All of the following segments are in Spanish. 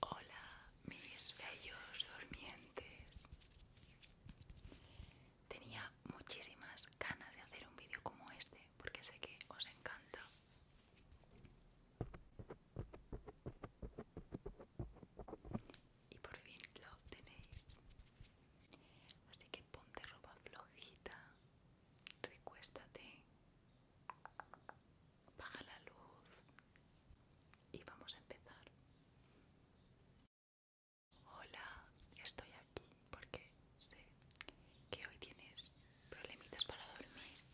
Hola, mis bellos dormientes, Tenía muchísimas ganas de hacer un vídeo como este porque sé que os encanta y por fin lo tenéis así que ponte ropa flojita recuéstate baja la luz y vamos a empezar Hola, estoy aquí porque sé que hoy tienes problemitas para dormir.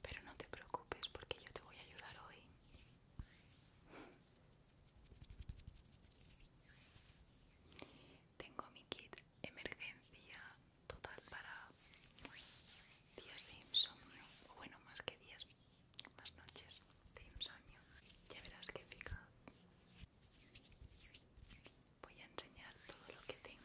Pero no te preocupes porque yo te voy a ayudar hoy. Tengo mi kit emergencia total para días de insomnio, o bueno, más que días, más noches de insomnio. Ya verás que fija Voy a enseñar todo lo que tengo.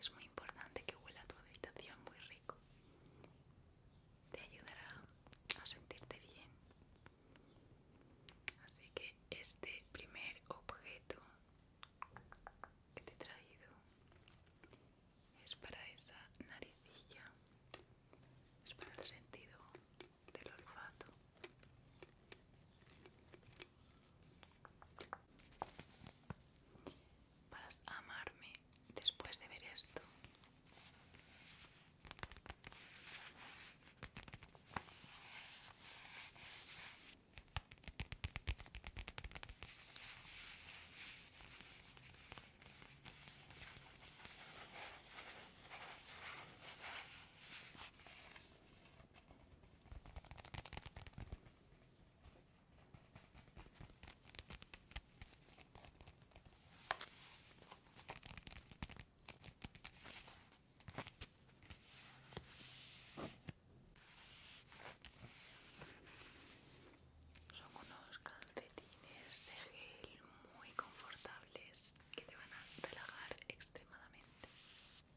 Es muy importante que huela tu habitación muy rico. Te ayudará a sentirte bien. Así que este primer objeto que te he traído es para esa naricilla. Es para el sentido del olfato. Vas a amarme después de ver esto. Son unos calcetines de gel muy confortables que te van a relajar extremadamente.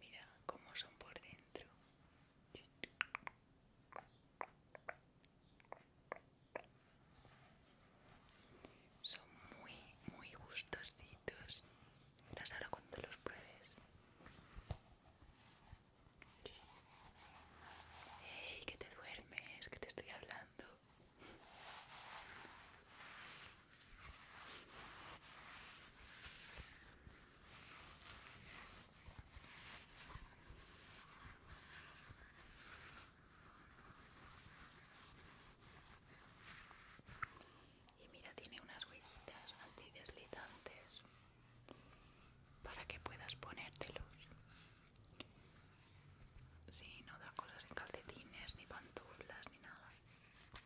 Mira cómo son por dentro. Son muy, muy gustositos. Mira, ahora cuando los pruebes. ¡Hey, que te duermes! Que te estoy hablando. Y mira, tiene unas huellitas antideslizantes para que puedas ponértelos. si no da cosas en calcetines, ni pantuflas, ni nada.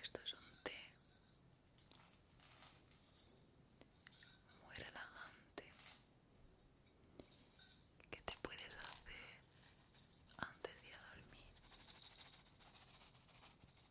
Esto es un té muy relajante que te puedes hacer antes de dormir.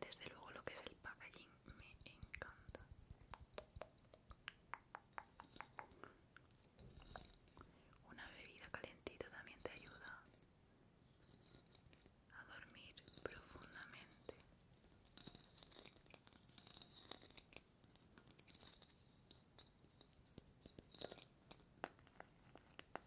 Desde luego lo que es el packaging me encanta. Una bebida calentita también te ayuda a dormir profundamente.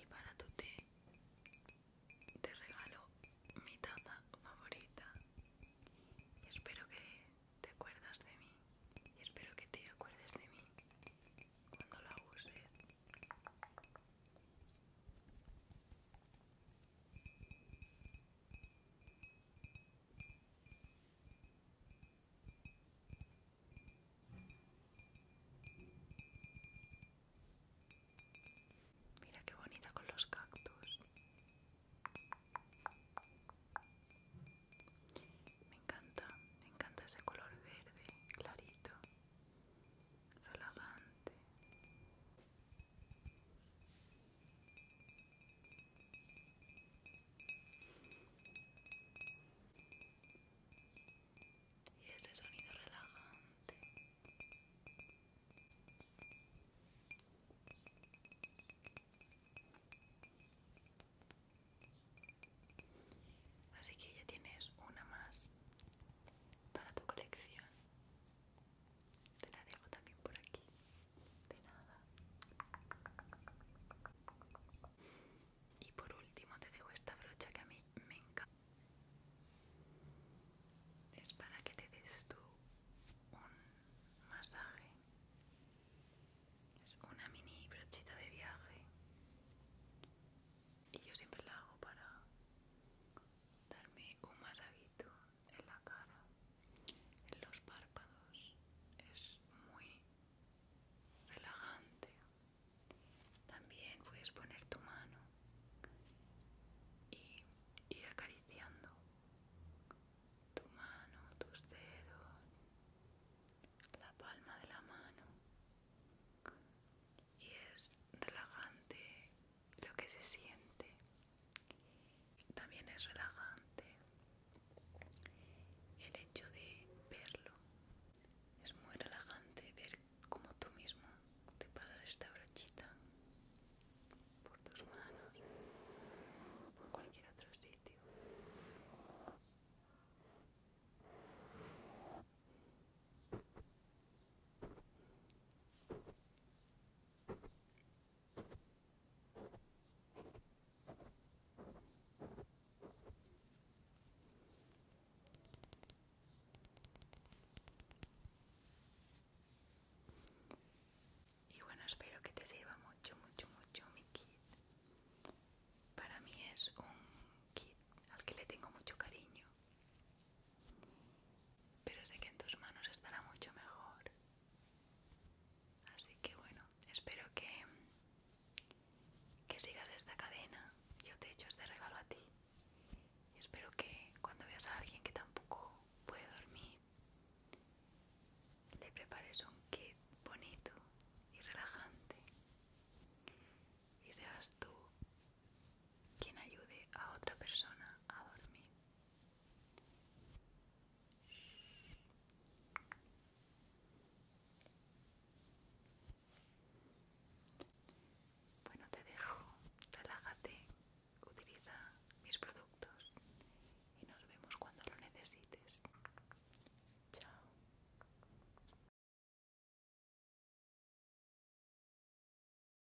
Y para tu té te regalo mi taza favorita. Y espero que te acuerdas de mí. Y espero que te acuerdes de mí cuando la uses. Mira qué bonita con los cactus. Me encanta, me encanta ese color verde, clarito, relajante. Y ese sonido relajante. Así que ya tienes una más para tu colección. Te la dejo también por aquí. De nada. Y por último te dejo esta brocha que a mí me encanta. Es para que te des tú un masaje. Es una mini brochita de viaje. Y yo siempre la hago para darme un masajito en la cara, en los párpados. Es muy relajante. También puedes poner tu mano y ir acariciando tu mano, tus dedos, la palma de la mano. Y es relajante lo que se siente también es relajante el hecho de verlo. Es muy relajante ver cómo tú mismo te pasas esta brochita por tus manos, o por cualquier otro sitio. Y bueno, espero que te sirva mucho, mucho, mucho mi kit. Para mí es un kit al que le tengo mucho cariño pero sé que en tus manos estará mucho mejor así que bueno espero que que sigas esta cadena yo te echo este regalo a ti y espero que cuando veas a alguien que tampoco puede dormir le prepares un kit bonito y relajante y seas tú quien ayude a otra persona a dormir bueno, te dejo, relájate, utiliza mis productos y nos vemos cuando lo necesites. Chao.